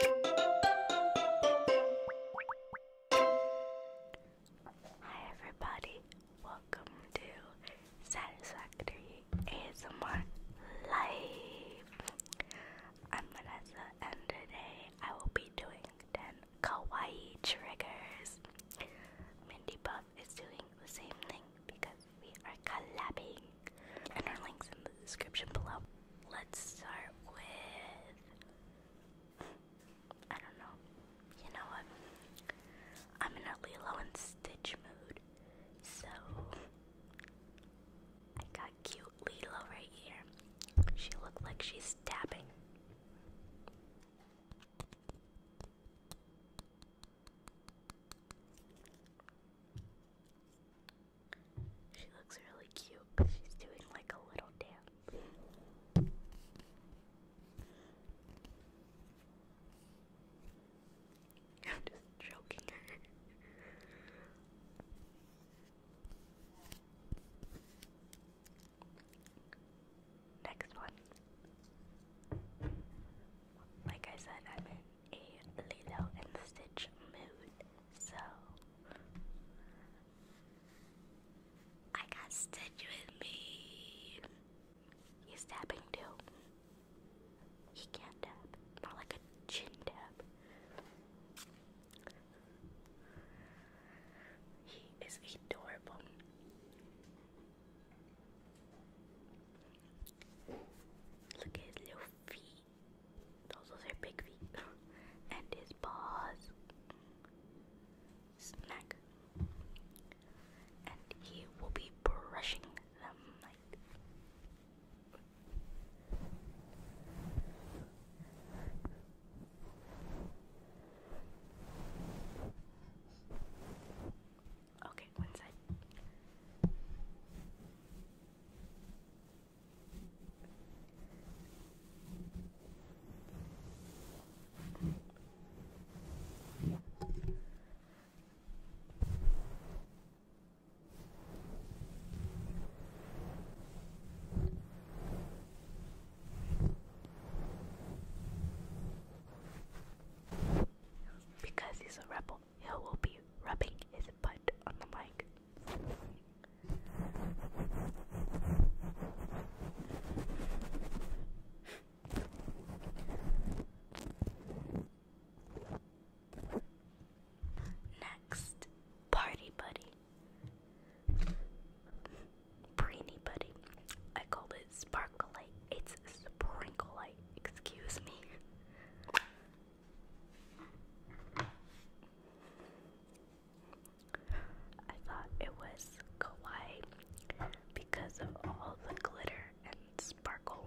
Hi everybody, welcome to Satisfactory ASMR Live. I'm Vanessa and today I will be doing 10 kawaii triggers. Mindy Buff is doing the same thing because we are collabing and our links in the description below let's start with I don't know. You know what? I'm in a Lilo and Stitch mood. So I got cute Lilo right here. She looked like she's dabbing. She looks really cute, she's doing like a little dance. I'm just joking Next one. Like I said, I'm in a Lilo and Stitch mood. So I got Stitch with me. He's tapping too. He can't tap. More like a chin tap. He is adorable. Look at his little feet. Those are big feet and his paws. Snack. And he will be brushing them Okay, one side. Because he's a rebel, he will be rubbing his butt on the mic. Next, Party Buddy. Brainy Buddy. I call it Sparkle It's Sprinkle Excuse me. I thought it was kawaii because of all the glitter and sparkle.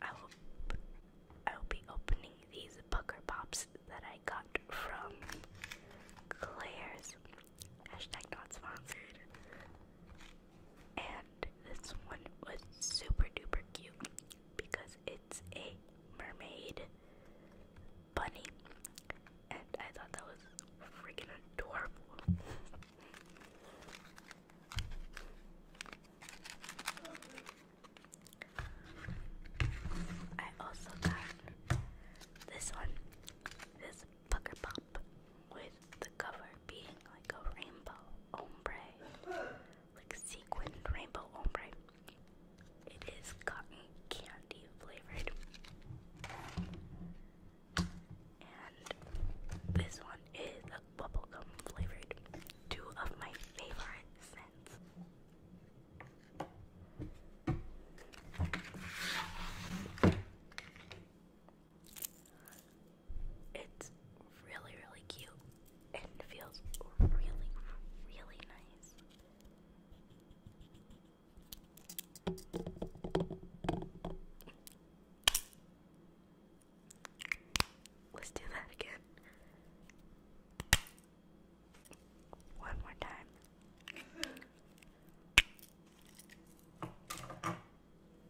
I will, be opening these pucker pops that I got from Claire's. Hashtag not sponsored. And this one was super duper cute because it's a mermaid bunny, and I thought that was freaking adorable. I also got this one, this pop with the cover being like a rainbow ombre, like sequined rainbow ombre. It is cotton candy flavored. And this one is bubblegum flavored. Two of my favorite scents. It's really, really cute and feels really, really nice. Let's do that again. One more time.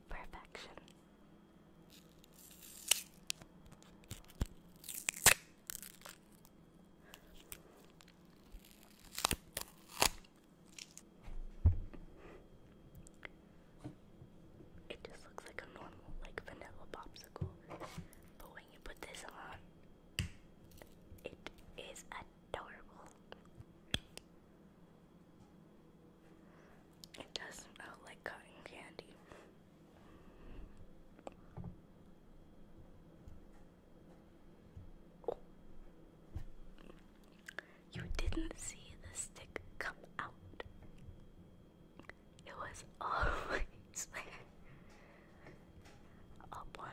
Perfection. It just looks like a normal, like vanilla popsicle. But when you put this on, it is adorable. It does smell like cotton candy. Oh. You didn't see the stick come out. It was always there. Up one.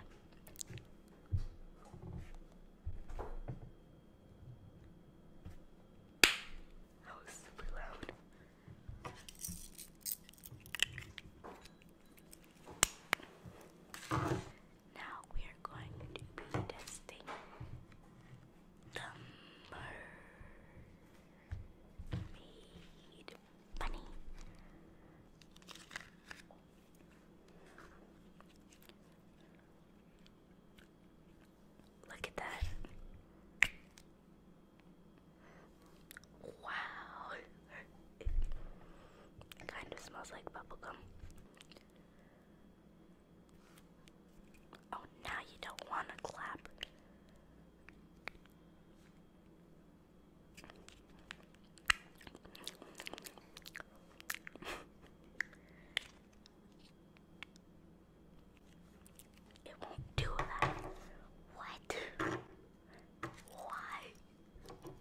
That was super loud. Now we are going to be testing the mermaid bunny. Look at that. Wow. kind of smells like bubblegum. Oh, now you don't want to clap. it won't do that. What? Why?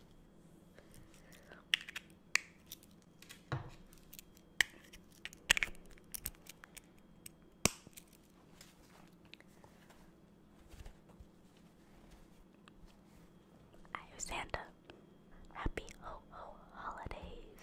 I am Santa. Happy ho ho holidays.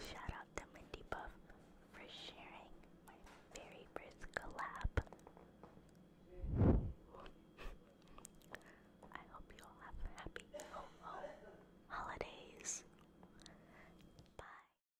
Shout out to Mindy Buff for sharing my very first collab. I hope you all have happy ho holidays. Bye.